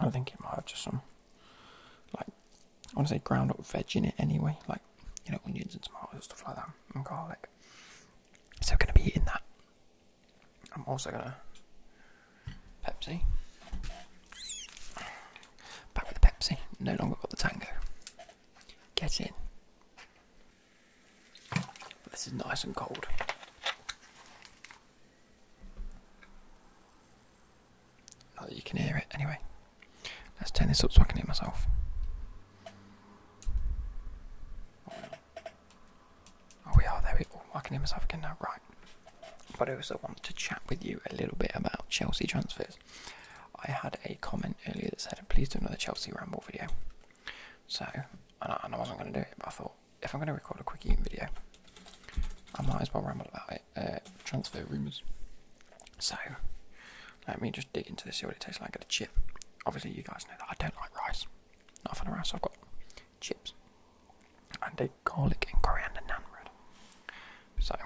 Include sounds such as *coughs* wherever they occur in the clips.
I think it might have just some, like, I want to say ground up veg in it anyway, like, you know, onions and tomatoes, stuff like that, and garlic. So, i going to be eating that. I'm also going to Pepsi. Back with the Pepsi. No longer got the tango. Get in. This is nice and cold. Not oh, that you can hear it, anyway. Let's turn this up so I can hear myself. Oh, we are there. We, oh, I can hear myself again now, right? But I also want to chat with you a little bit about Chelsea transfers. I had a comment earlier that said, please do another Chelsea ramble video. So, I, and I wasn't going to do it, but I thought if I'm going to record a quick eating video, I might as well ramble about it. Uh, transfer rumours. So, let me just dig into this, see what it tastes like. I got a chip. Obviously, you guys know that I don't like rice. Not a fan rice. I've got chips and a garlic and coriander naan bread. So,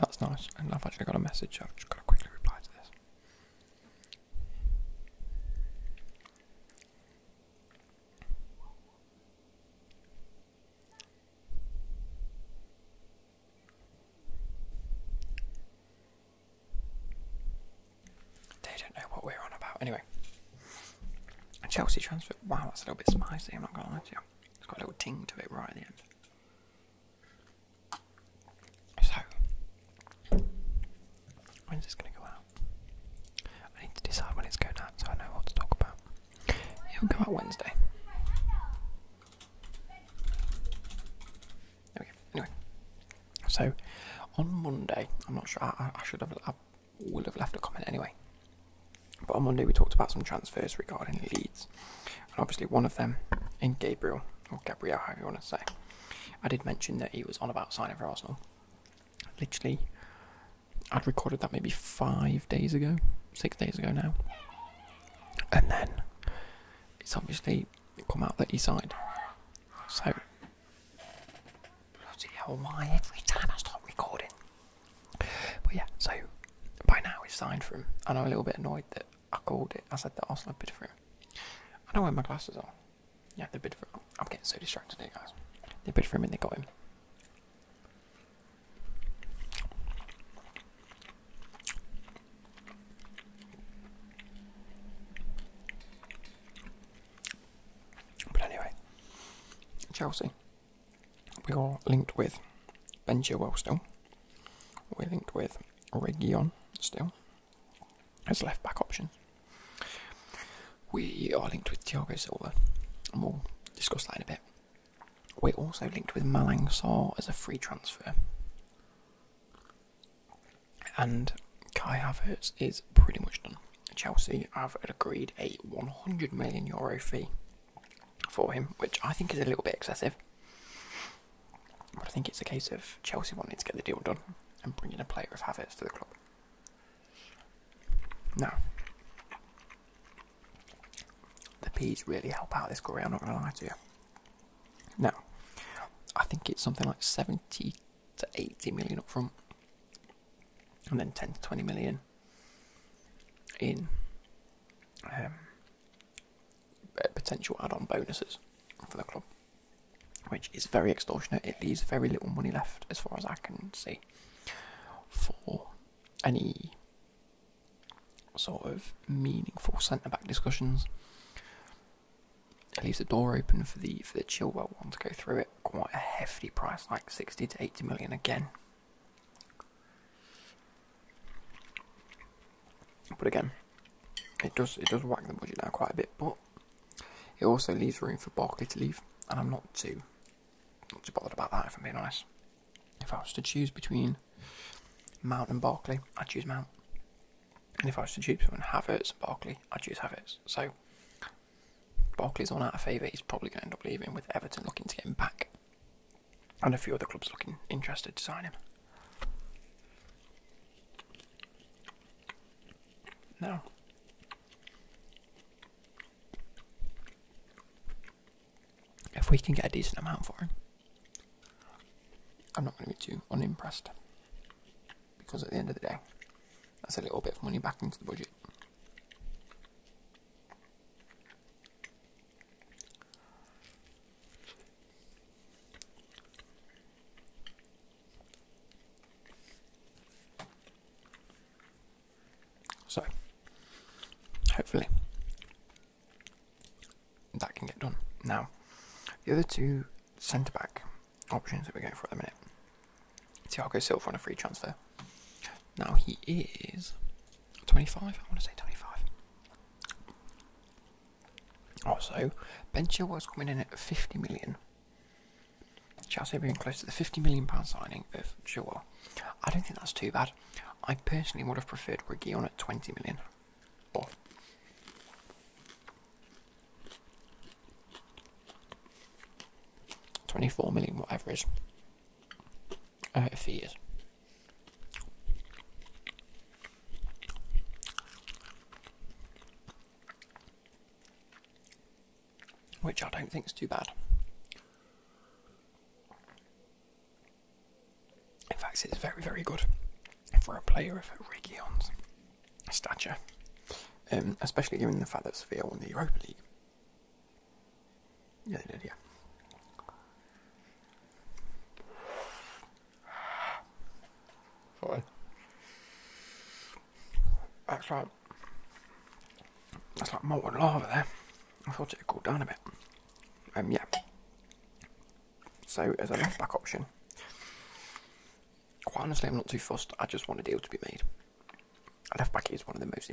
that's nice, and I've actually got a message, I've just got to quickly reply to this. They don't know what we're on about. Anyway, Chelsea transfer. Wow, that's a little bit spicy. I'm not gonna lie you. It's got a little ting to it right at the end. So, when's this going to go out? I need to decide when it's going out so I know what to talk about. It'll go out Wednesday. There Anyway, so on Monday, I'm not sure. I, should have. I will have left a comment anyway. But on Monday, we talked about some transfers regarding Leeds. And obviously, one of them in Gabriel, or Gabrielle, however you want to say. I did mention that he was on about signing for Arsenal. Literally, I'd recorded that maybe five days ago, six days ago now. And then it's obviously come out that he signed. So, bloody hell, why every time I start recording, but yeah, so by now he's signed for him, and I'm a little bit annoyed that I called it. I said that Arsenal bid for him. I don't wear my glasses on. Yeah, they bid for him. I'm getting so distracted here, guys. They bid for him and they got him. But anyway, Chelsea. We are linked with Ben Chilwell still. We're linked with Region still as left back option. We are linked with Thiago Silva, and we'll discuss that in a bit. We're also linked with Malang Sarr as a free transfer. And Kai Havertz is pretty much done. Chelsea have agreed a 100 million euro fee for him, which I think is a little bit excessive. But I think it's a case of Chelsea wanting to get the deal done and bringing a player of Havertz to the club. Now, the P's really help out this goal. I'm not going to lie to you. Now, I think it's something like 70 to 80 million up front, and then 10 to 20 million in um, potential add-on bonuses for the club, which is very extortionate. It leaves very little money left, as far as I can see, for any sort of meaningful centre back discussions. It leaves the door open for the for the Chilwell one to go through it. Quite a hefty price, like sixty to eighty million again. But again, it does it does whack the budget down quite a bit, but it also leaves room for Barkley to leave, and I'm not too too bothered about that if I'm being honest. If I was to choose between Mount and Barkley, I'd choose Mount. And if I was to choose between Havertz and Barkley, I'd choose Havertz. So is on our favour, he's probably gonna end up leaving with Everton looking to get him back and a few other clubs looking interested to sign him. Now, If we can get a decent amount for him, I'm not going to be too unimpressed. Because at the end of the day, that's a little bit of money back into the budget. So, hopefully, that can get done. Now, the other two centre back options that we're going for at the minute Thiago Silva on a free transfer. Now he is 25, I want to say 25. Also, Ben was coming in at 50 million. Chelsea being close to the 50 million pound signing of Chilwell. I don't think that's too bad. I personally would have preferred Reguilon at 20 million. Or Twenty-four million, whatever is. Oh, hope he is. Which I don't think is too bad. In fact, it's very, very good for a player of Region's stature, um, especially given the fact that Sevilla won the Europa League yeah, they did, yeah. Fine. That's like that's like molten lava there. I thought it had cooled down a bit. Um yeah. So as a left back option, quite honestly I'm not too fussed, I just want a deal to be made. left back is one of the most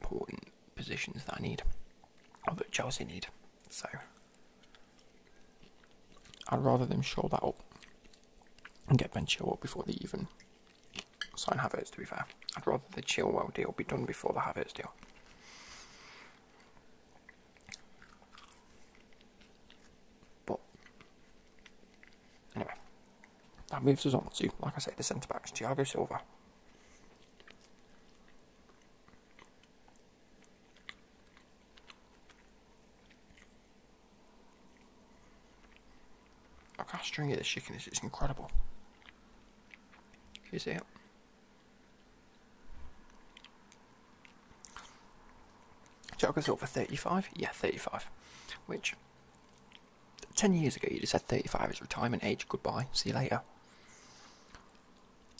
important positions that I need, or that Chelsea need. So I'd rather them show that up and get Ben Chilwell before the even sign Havertz. To be fair, I'd rather the Chilwell deal be done before the Havertz deal. But anyway, that moves us on to, like I said, the centre backs, Thiago Silva. I Look how stringy this chicken it's incredible. Can you see it? Thiago Silva 35? Yeah, 35. Which 10 years ago, you just had said 35 is retirement age, goodbye, see you later.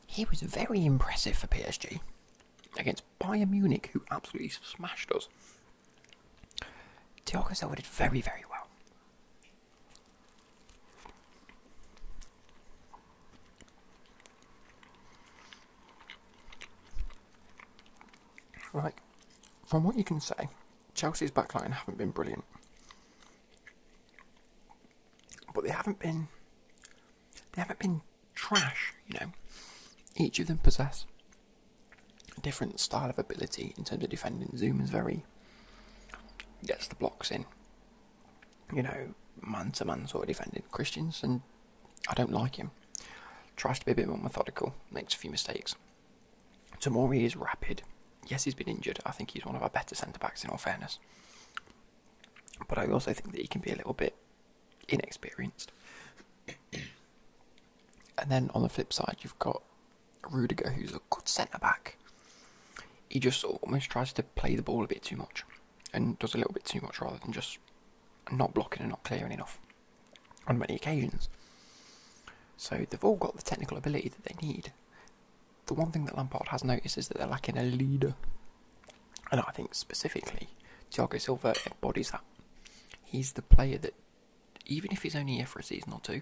He was very impressive for PSG against Bayern Munich, who absolutely smashed us. Diogo Silva did very, very well. Right, from what you can say, Chelsea's backline haven't been brilliant, but they haven't been they haven't been trash. You know, each of them possess a different style of ability in terms of defending. Zoom is very gets the blocks in. You know, man to man sort of defending. Christians and I don't like him. Tries to be a bit more methodical, makes a few mistakes. Tomori is rapid. Yes, he's been injured. I think he's one of our better centre backs, in all fairness. But I also think that he can be a little bit inexperienced. *coughs* and then on the flip side, you've got Rudiger, who's a good centre back. He just almost tries to play the ball a bit too much and does a little bit too much rather than just not blocking and not clearing enough on many occasions. So they've all got the technical ability that they need. The one thing that Lampard has noticed is that they're lacking a leader. And I think specifically, Thiago Silva embodies that. He's the player that, even if he's only here for a season or two,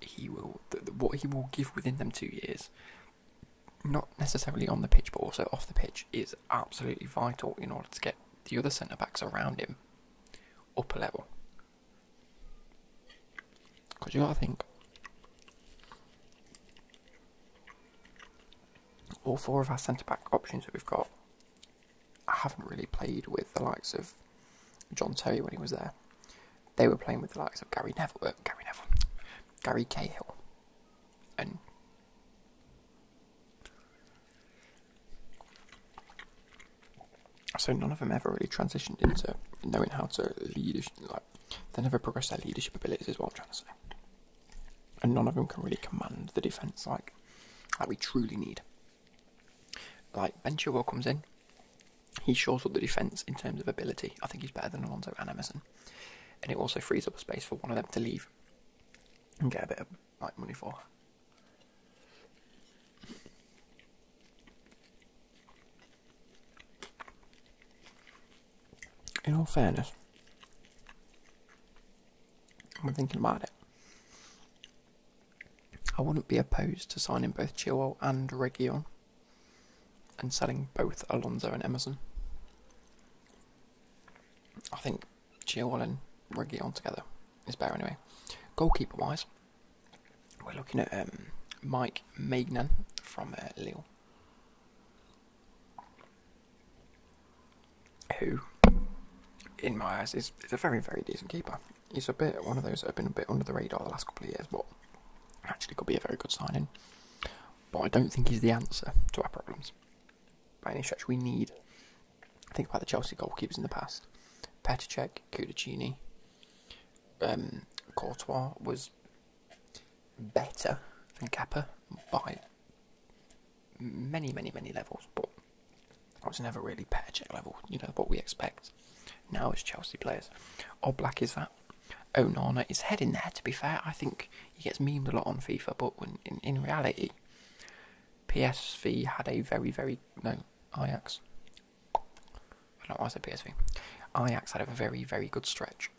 he will what he will give within them two years, not necessarily on the pitch but also off the pitch, is absolutely vital in order to get the other centre backs around him Upper level. Because you gotta think, all four of our centre back options that we've got, I haven't really played with the likes of John Terry when he was there. They were playing with the likes of Gary Neville, uh, Gary Neville, Gary Cahill, and so none of them ever really transitioned into knowing how to lead. Like they never progressed their leadership abilities, is what I'm trying to say. And none of them can really command the defense like like we truly need. Like Ben Chilwell comes in, he shores up the defense in terms of ability. I think he's better than Alonso and Emerson, and it also frees up a space for one of them to leave and get a bit of I like money for. In all fairness, I'm thinking about it. I wouldn't be opposed to signing both Chilwell and Region and selling both Alonso and Emerson. I think Chilwell and Riggy on together is better anyway. Goalkeeper wise, we're looking at um, Mike Magnan from uh, Lille, who, in my eyes, is a very, very decent keeper. He's a bit one of those that have been a bit under the radar the last couple of years, but actually could be a very good signing. But I don't think he's the answer to our problems by any stretch we need. Think about the Chelsea goalkeepers in the past. Petacek, Kudachini. um, Courtois was better than Kappa by many, many, many levels, but I was never really Petacek level, you know, what we expect. Now it's Chelsea players. Oh, Black is that. Oh, Onana is heading there, to be fair. I think he gets memed a lot on FIFA, but when, in reality, PSV had a very, very no Ajax. I don't know why I said PSV. Ajax had a very, very good stretch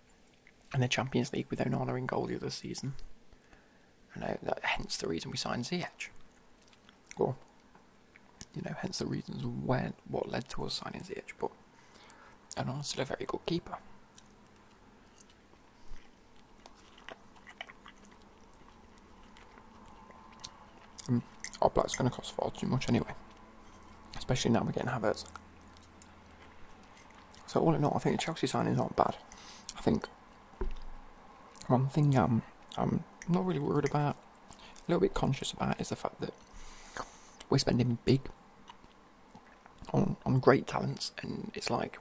in the Champions League with Onana in goal the other season. I know hence the reason we signed Ziyech. Or, you know, hence the reasons when what led to us signing Ziyech. But Onana's also a very good keeper. Mm, our black's going to cost far too much anyway, especially now we're getting Havertz. So all in all, I think the Chelsea signings aren't bad. I think one thing um, I'm not really worried about, a little bit conscious about, is the fact that we're spending big on great talents, and it's like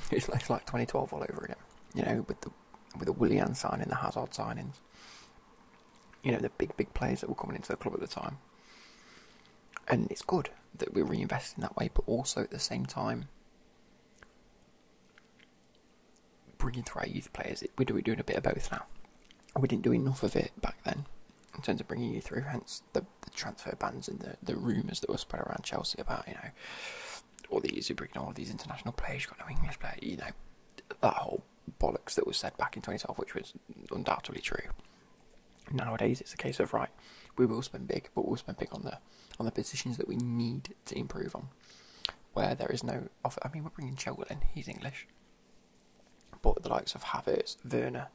*laughs* It's like, like 2012 all over again, you know, with the with the Willian signing, the Hazard signings, you know, the big big players that were coming into the club at the time, and it's good that we're reinvesting that way, but also at the same time bringing through our youth players. We're doing a bit of both now. We didn't do enough of it back then in terms of bringing you through, hence the, the transfer bans and the, the rumours that were spread around Chelsea about, you know, all these, you're all these international players, you've got no English player, you know, that whole bollocks that was said back in 2012, which was undoubtedly true. Nowadays, it's a case of, right, we will spend big, but we'll spend big on the on the positions that we need to improve on, where there is no offer. I mean, we're bringing Chilwell in; he's English, but the likes of Havertz, Werner,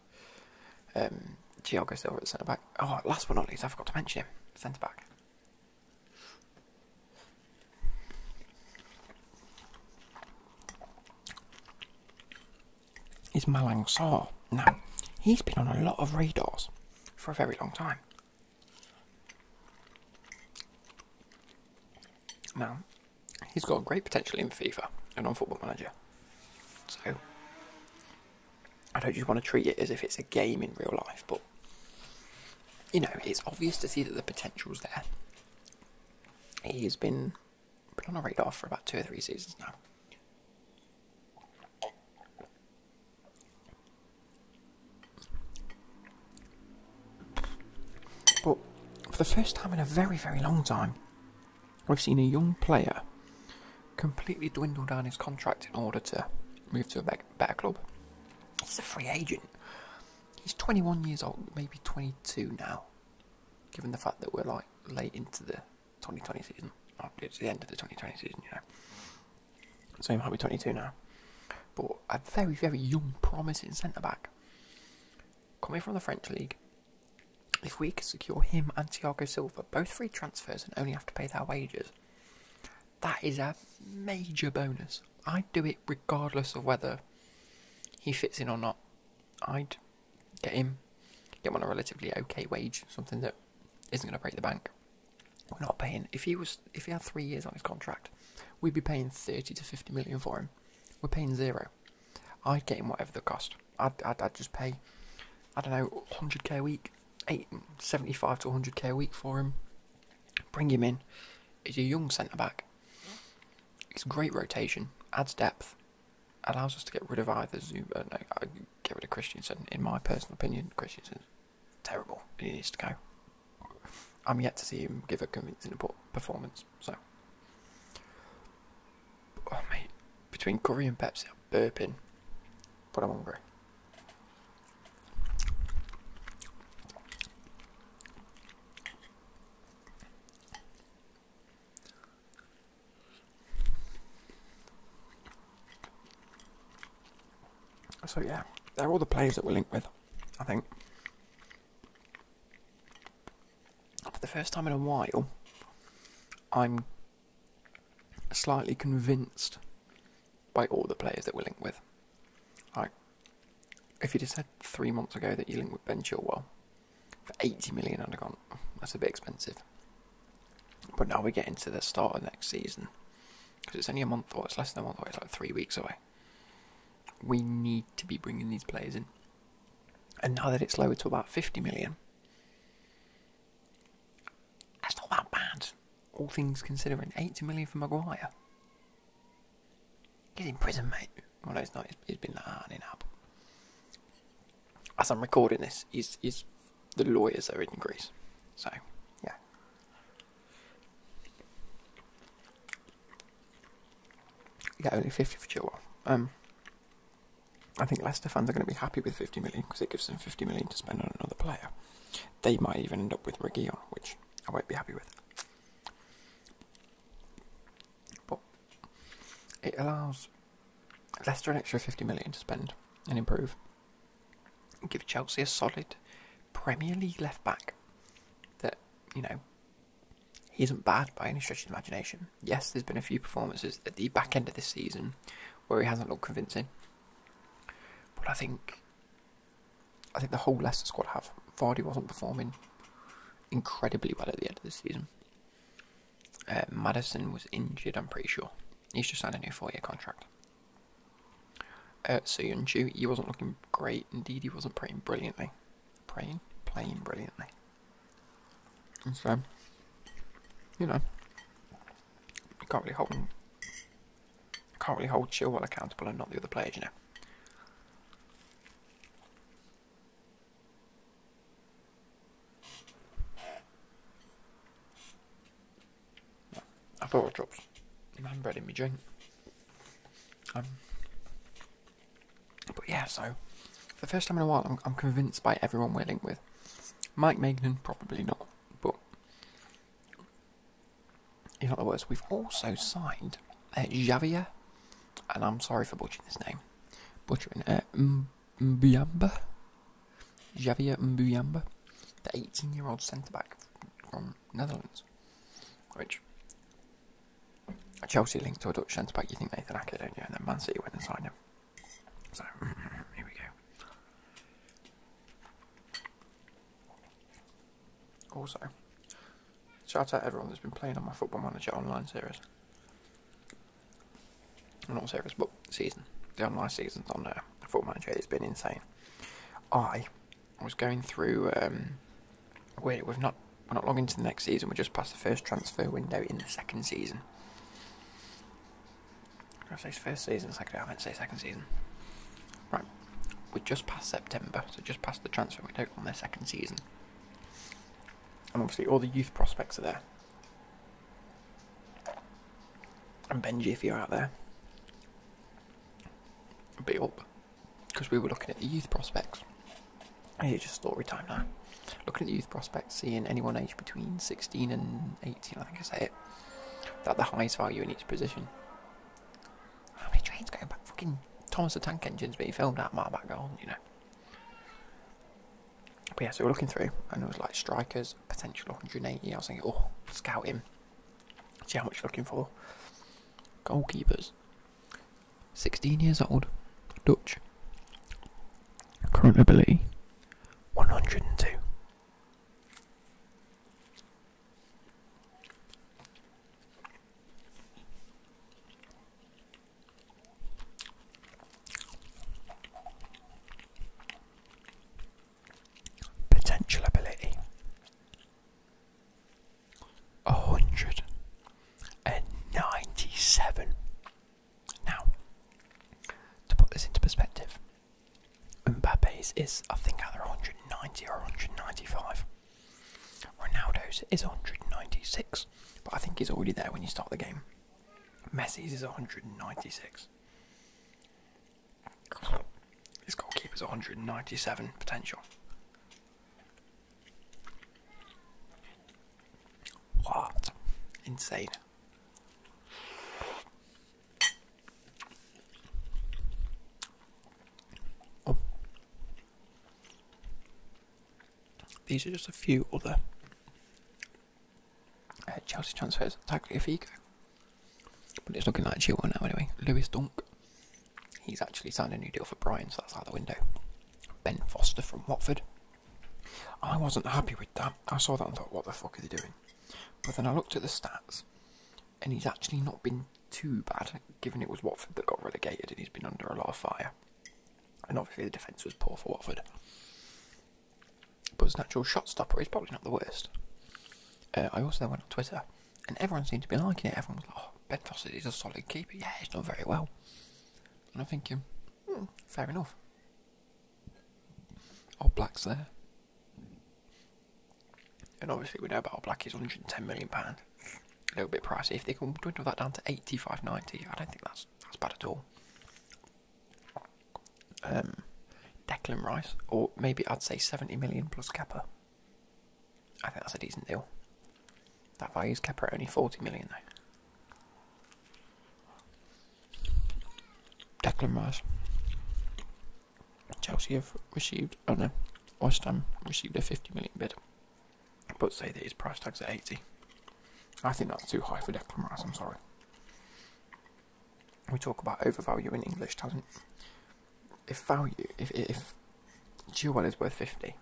um, Thiago Silva at centre back. Oh, last but not least, I forgot to mention him, centre back. Is Malang Sarr. Now, he's been on a lot of radars for a very long time. Now, he's got great potential in FIFA and on Football Manager. So, I don't just want to treat it as if it's a game in real life, but you know, it's obvious to see that the potential's there. He has been put on a radar for about two or three seasons now. But for the first time in a very, very long time, we've seen a young player completely dwindle down his contract in order to move to a better club. He's a free agent. He's 21 years old, maybe 22 now, given the fact that we're like late into the 2020 season. It's the end of the 2020 season, you know. So he might be 22 now. But a very, very young, promising centre back. Coming from the French league, if we could secure him and Thiago Silva both free transfers and only have to pay their wages, that is a major bonus. I'd do it regardless of whether he fits in or not. I'd get him, get him on a relatively okay wage, something that isn't going to break the bank. We're not paying. If he was, if he had three years on his contract, we'd be paying thirty to fifty million for him. We're paying zero. I'd get him whatever the cost. I'd, I'd, I'd just pay. I don't know, hundred k a week Eight seventy-five 75 to 100k a week for him. Bring him in. He's a young centre back. It's great rotation, adds depth, allows us to get rid of either Zuba. Uh, no, uh, get rid of Christiansen. In my personal opinion, Christiansen's terrible. He needs to go. I'm yet to see him give a convincing performance. So, oh, mate, between Curry and Pepsi, I'm burping. Put them on grey. So yeah, they're all the players that we're linked with, I think. For the first time in a while, I'm slightly convinced by all the players that we linked with. Like, if you'd have said three months ago that you linked with Ben Chilwell for 80 million undergone, that's a bit expensive. But now we're getting to the start of next season because it's only a month or it's less than a month or it's like three weeks away. We need to be bringing these players in. And now that it's lowered to about 50 million, that's not that bad, all things considering. 80 million for Maguire. He's in prison, mate. Well, it's not. He's been hard in up. As I'm recording this, he's, he's the lawyers are in Greece. So, yeah. Yeah, only 50 for Chilwell. Um, I think Leicester fans are going to be happy with 50 million because it gives them 50 million to spend on another player. They might even end up with Reguilon, which I won't be happy with. But it allows Leicester an extra 50 million to spend and improve. Give Chelsea a solid Premier League left back that, you know, he isn't bad by any stretch of imagination. Yes, there's been a few performances at the back end of this season where he hasn't looked convincing. But I think I think the whole Leicester squad have. Vardy wasn't performing incredibly well at the end of the season. Uh, Madison was injured, I'm pretty sure. He's just signed a new four-year contract. Uh, and Yunju, he wasn't looking great. Indeed, he wasn't playing brilliantly. Praying? Playing brilliantly. so, you know, you can't really hold them. Can't really hold while accountable and not the other players, you know. I thought it drops. Man bread in me drink. I'm. Um, but yeah, so for the first time in a while, I'm, I'm convinced by everyone we're linked with. Mike Magnan, probably not, but in other words, we've also signed uh, Xavier, and I'm sorry for butchering this name, butchering uh, Mbuyamba, Xavier Mbuyamba, the 18 year old centre back from Netherlands, which Chelsea linked to a Dutch centre back, you think Nathan Acker, don't you? And then Man City went and signed him. So, *laughs* here we go. Also, shout out everyone that's been playing on my Football Manager online series. Well, not series, but season. The online seasons on there. Football Manager, has been insane. I was going through. Um, wait, we've not we're not long into the next season. We're just past the first transfer window in the second season say first season, second, I meant to say second season. Right, we're just past September, so just past the transfer window on their second season. And obviously, all the youth prospects are there. And Benji, if you're out there, be up. Because we were looking at the youth prospects. it's just story time now. Looking at the youth prospects, seeing anyone aged between 16 and 18. 18, I think I say it. That the highest value in each position. How many trains going back? Fucking Thomas the Tank Engine's being filmed out my back Garden, you know. But yeah, so we're looking through, and it was like strikers, potential 180. I was thinking, oh, scout him. See how much you're looking for. Goalkeepers. 16 years old. Dutch. Current ability one hundred and two. Potential ability a hundred and ninety seven. Now, to put this into perspective, Mbappe's is, I think, either 190 or 195. Ronaldo's is 196, but I think he's already there when you start the game. Messi's is 196. His goalkeeper's 197 potential. What? Insane. Oh. These are just a few other uh, Chelsea transfers. Tackle Figo. But it's looking like Chilwell now anyway. Lewis Dunk. He's actually signed a new deal for Brian, so that's out the window. Ben Foster from Watford. I wasn't happy with that. I saw that and thought, what the fuck are they doing? But then I looked at the stats, and he's actually not been too bad, given it was Watford that got relegated and he's been under a lot of fire. And obviously the defence was poor for Watford. But as an actual shot stopper, he's probably not the worst. Uh, I also went on Twitter, and everyone seemed to be liking it. Everyone was like, oh, Ben Foster is a solid keeper. Yeah, he's not very well. And i think thinking, hmm, fair enough. Old Black's there. And obviously we know about Old Black is £110 million. A little bit pricey. If they can dwindle that down to 85 90 I don't think that's that's bad at all. Um, Declan Rice, or maybe I'd say 70 million plus Kappa. I think that's a decent deal. That values Kappa at only 40 million though. Declan Rice. Chelsea have received, oh no, West Ham received a 50 million bid, but say that his price tag is 80. I think that's too high for Declan Rice, I'm sorry. We talk about overvalue in English talent. If value, if, if one is worth 50,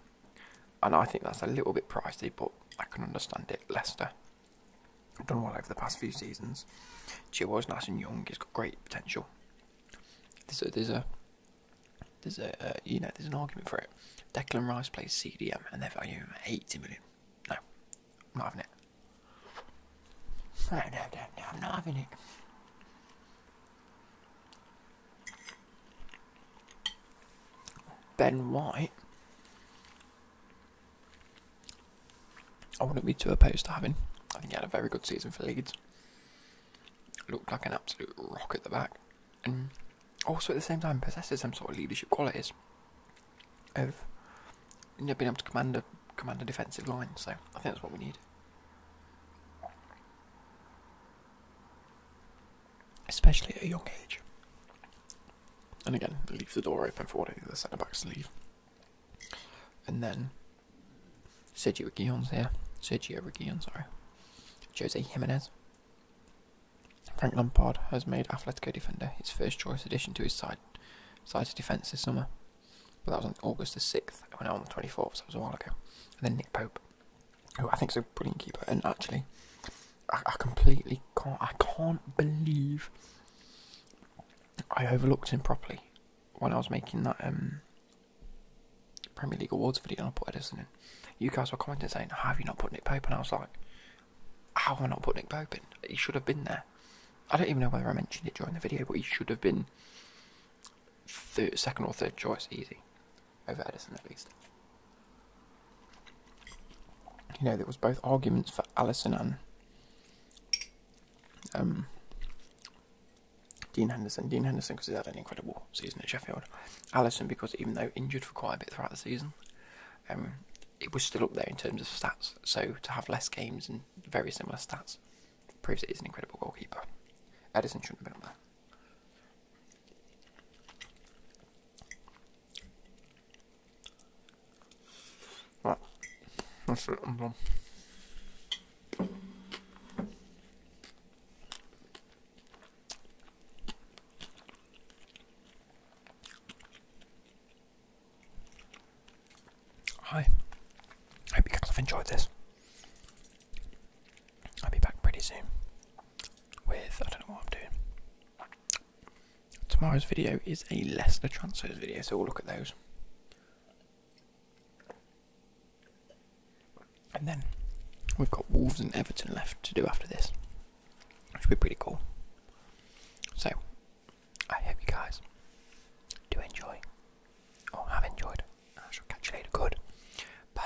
and I think that's a little bit pricey, but I can understand it. Leicester done well over the past few seasons. Chilwell's nice and young. He's got great potential. There's there's a there's a uh, you know there's an argument for it. Declan Rice plays CDM and they're valuing him 80 million. No, I'm not having it. No, no, no, no, I'm not having it. Ben White I wouldn't be too opposed to having. I think he had a very good season for Leeds. Looked like an absolute rock at the back, and also at the same time possesses some sort of leadership qualities. Of being able to command a command a defensive line, so I think that's what we need. Especially at a young age. And again, leave the door open for whatever the centre backs leave. And then Sergio Reguilon's here. Sergio Reguilon, sorry. Jose Jimenez. Frank Lampard has made Atletico defender his first choice addition to his side side's defence this summer. But that was on August the 6th, I went out on the 24th, so that was a while ago. And then Nick Pope, who I think is a brilliant keeper, and actually, I, completely can't. I can't believe I overlooked him properly when I was making that um, Premier League awards video. And I put Edison in. You guys were commenting saying, "How have you not put Nick Pope?" And I was like, "How have I not put Nick Pope in? He should have been there." I don't even know whether I mentioned it during the video, but he should have been third, second or third choice, easy over Edison at least. You know, there was both arguments for Alice and um, Dean Henderson, Dean Henderson because he had an incredible season at Sheffield. Allison because even though injured for quite a bit throughout the season, um, it was still up there in terms of stats. So to have less games and very similar stats proves that he's an incredible goalkeeper. Edison shouldn't have been up there. Right. i Hope you guys have enjoyed this. I'll be back pretty soon with I don't know what I'm doing. Tomorrow's video is a Leicester transfers video, so we'll look at those. And then we've got Wolves and Everton left to do after this, which will be pretty cool. So, I hope you guys do enjoy, or have enjoyed. I shall catch you later. Good. Bye.